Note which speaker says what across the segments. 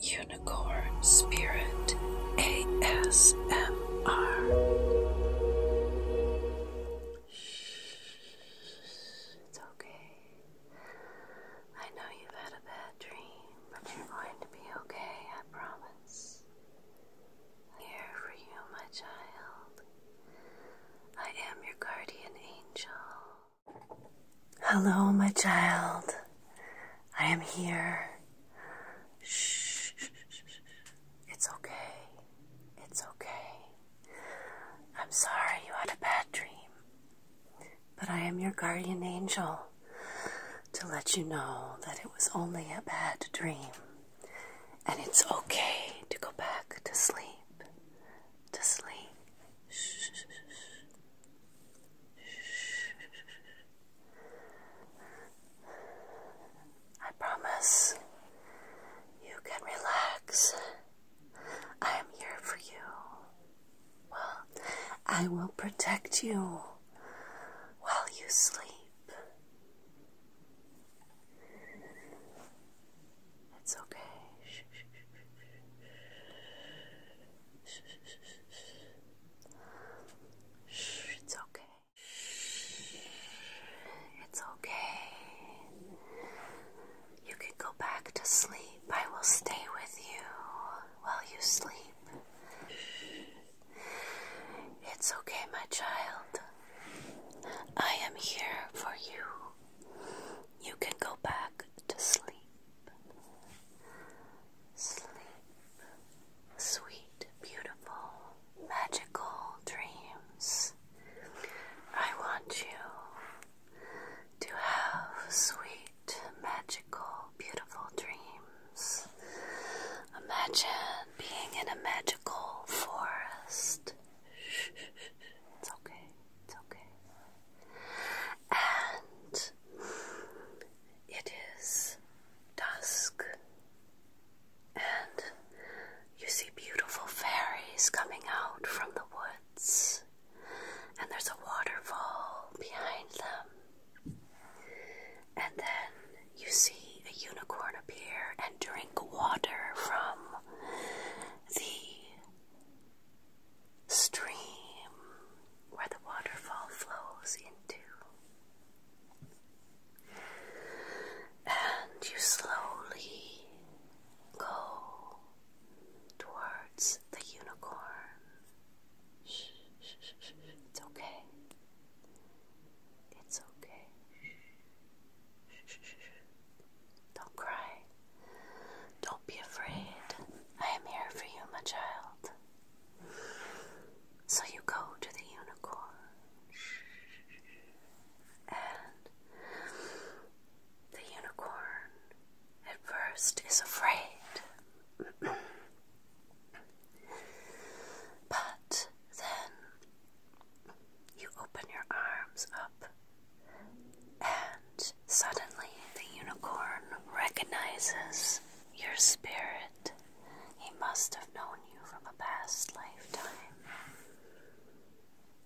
Speaker 1: Unicorn Spirit ASMR. It's okay. I know you've had a bad dream, but you're going to be okay, I promise. I'm here for you, my child. I am your guardian angel. Hello, my child. I am here. Shh. It's okay. It's okay. I'm sorry you had a bad dream. But I am your guardian angel to let you know that it was only a bad dream. And it's okay to go back to sleep. To sleep. I promise you can relax. I am here for you. Well, I will protect you while you sleep. It's okay. Shh, shh, shh, shh. Shh, it's okay. it's okay. You can go back to sleep. I will stay with you while you sleep. It's okay, my child. I am here for you. You can go back to sleep. Sleep. Sweet, beautiful, magical dreams. I want you to have sweet, magical, beautiful dreams. Imagine being in a magical forest. It's okay. It's okay. And it is dusk, and you see beautiful fairies coming out from the woods, and there's a waterfall behind them. And then you see a unicorn appear and drink water from the stream where the waterfall flows into. And you slowly go towards the unicorn. It's okay. It's okay. Don't cry. Don't don't be afraid. I am here for you, my child. So you go to the unicorn, and the unicorn at first is afraid. But then you open your arms up and suddenly the unicorn recognizes your spirit. He must have known you from a past lifetime.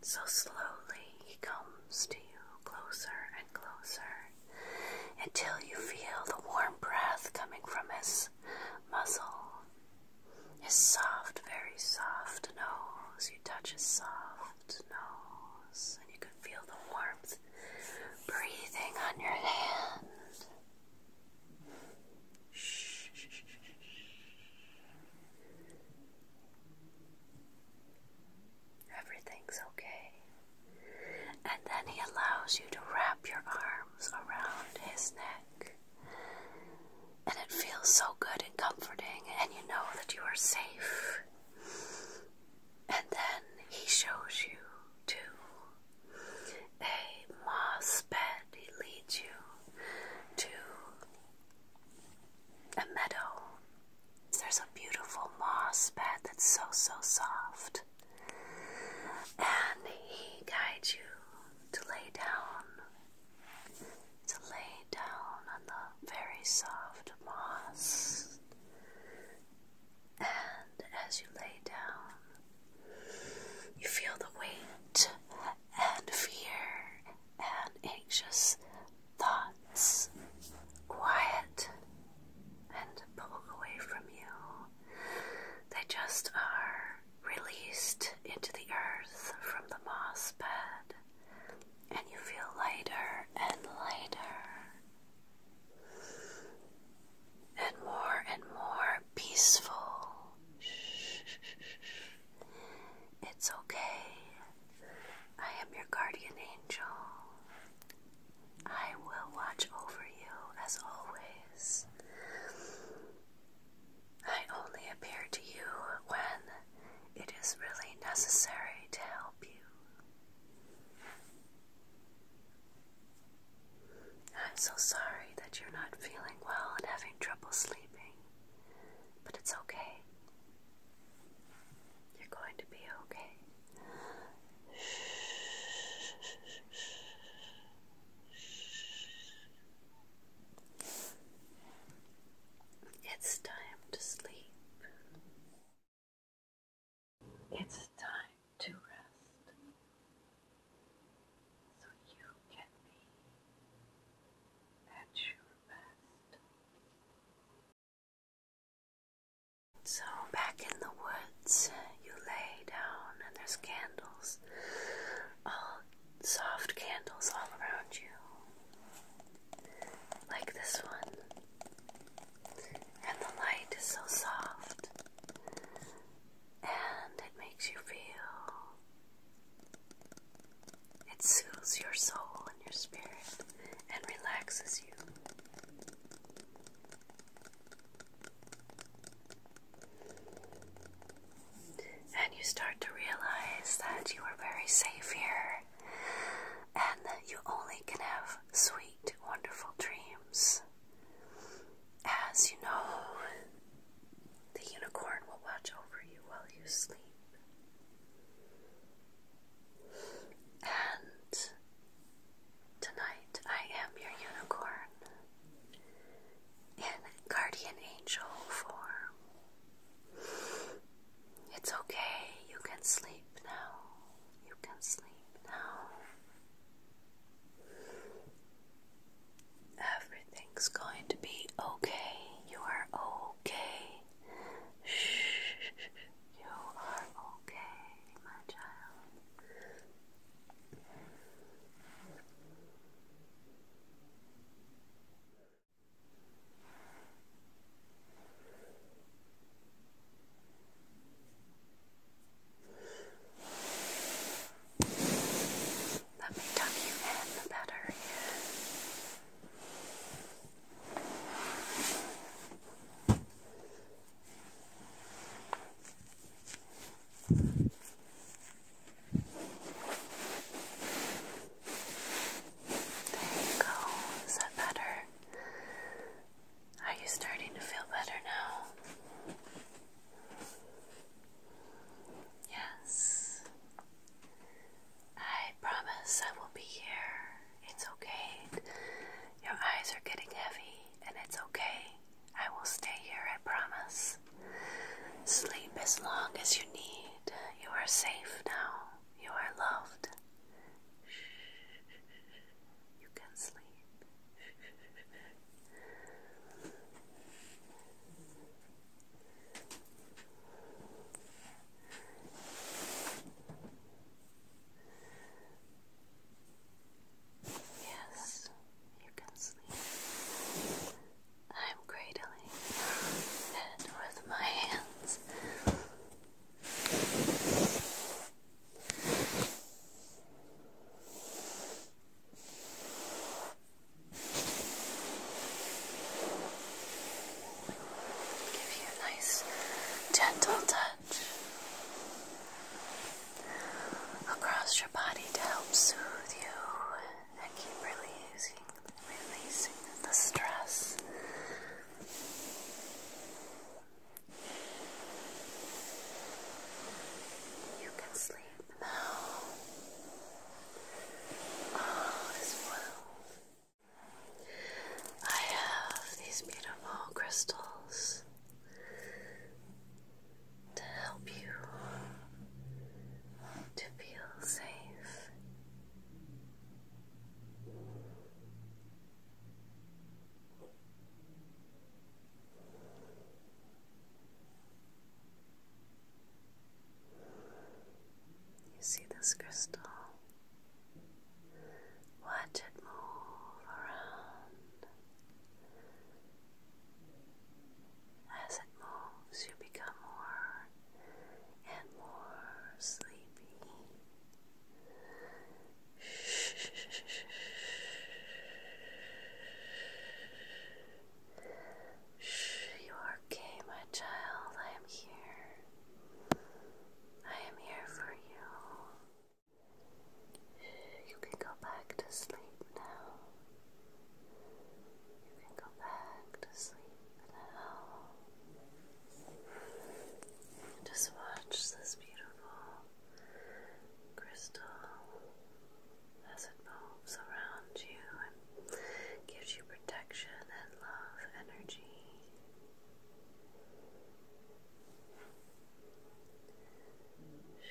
Speaker 1: So slowly he comes to you closer and closer until you feel the warm breath coming from his muzzle. His soft, very soft nose. You touch his soft, nose, and you can feel the warmth
Speaker 2: breathing
Speaker 1: on your hand. Everything's okay. And then he allows you to wrap your arms around his neck. And it feels so good and comforting, and you know that you are safe and then he shows you to a moss bed. He leads you to a meadow. There's a beautiful moss bed that's so, so soft. And he guides you to lay down, to lay down on the very soft moss. And as you lay down, you feel the weight and fear and anxious thoughts quiet and pulled away from you. They just are released into the earth from the moss bed and you feel lighter and lighter and more and more peaceful. It's okay. I am your guardian angel. I will watch over you as always. I only appear to you when it is really necessary to help. I'm so sorry that you're not feeling well and having trouble sleeping, but it's okay. You're going to be okay. It's time to sleep. It's time to rest so you can be at your best. So, back in the woods, you lay down, and there's candles, all soft candles all around you like this one. And the light is so soft and it makes you feel it soothes your soul and your spirit and relaxes you. And you start to realize that you are very safe here and that you only can have sweet, wonderful dreams. As you know, the unicorn will watch over you while you sleep. And tonight I am your unicorn in guardian angel form. It's okay, you can sleep now. You can sleep now. Everything's going to be okay. You are okay. Shh, you are okay, my child. Let me tuck you in the better here. There you go. Is that better? Are you starting to feel better now? Yes. I promise I will be here. It's okay. Your eyes are getting heavy, and it's okay. I will stay here, I promise. Sleep as long as you need. You are safe now. You are loved. You can sleep. Yes, you can sleep. I'm cradling it with my hands. Give you a nice gentle touch across your body to help soothe you and keep releasing the stress. You can sleep now. All well. I have these beautiful crystals to help you to feel safe you see this crystal? Watch it move around. As it moves, you become more and more sleepy. You're okay, my child. I am here. I am here for you. You can go back to sleep now and go back to sleep now. just watch this beautiful crystal as it moves around you and gives you protection and love energy. Shh.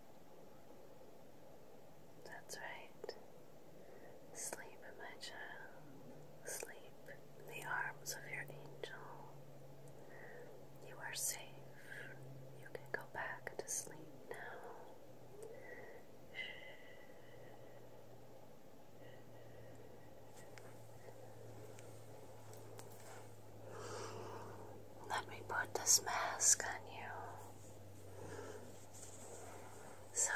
Speaker 1: That's right. Sleep, my child. Sleep the arms of your angel. You are safe. You can go back to sleep now. Let me put this mask on you. So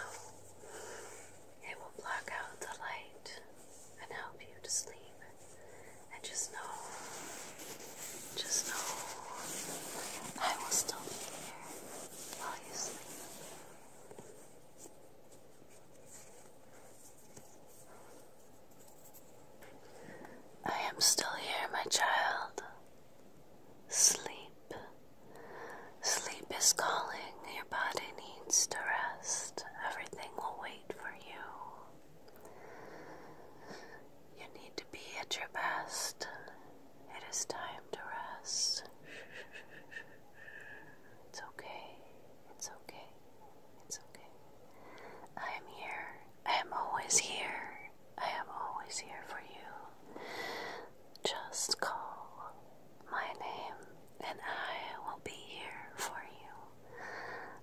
Speaker 1: it will block out the light and help you to sleep. And just know, just know, I will still be here while you sleep. I am still here, my child. Sleep. Sleep is calling. Your body needs to rest. Everything will wait for you. You need to be at your best. It is time to rest. It's okay. It's okay. It's okay. I am here I am always here. I am always here for you. Just call my name and I will be here for you.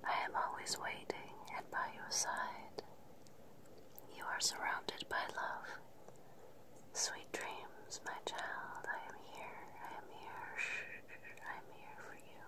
Speaker 1: I am always waiting and by your side. You are surrounded by love. Sweet dreams, my child. I am here. I am here. I am here for you.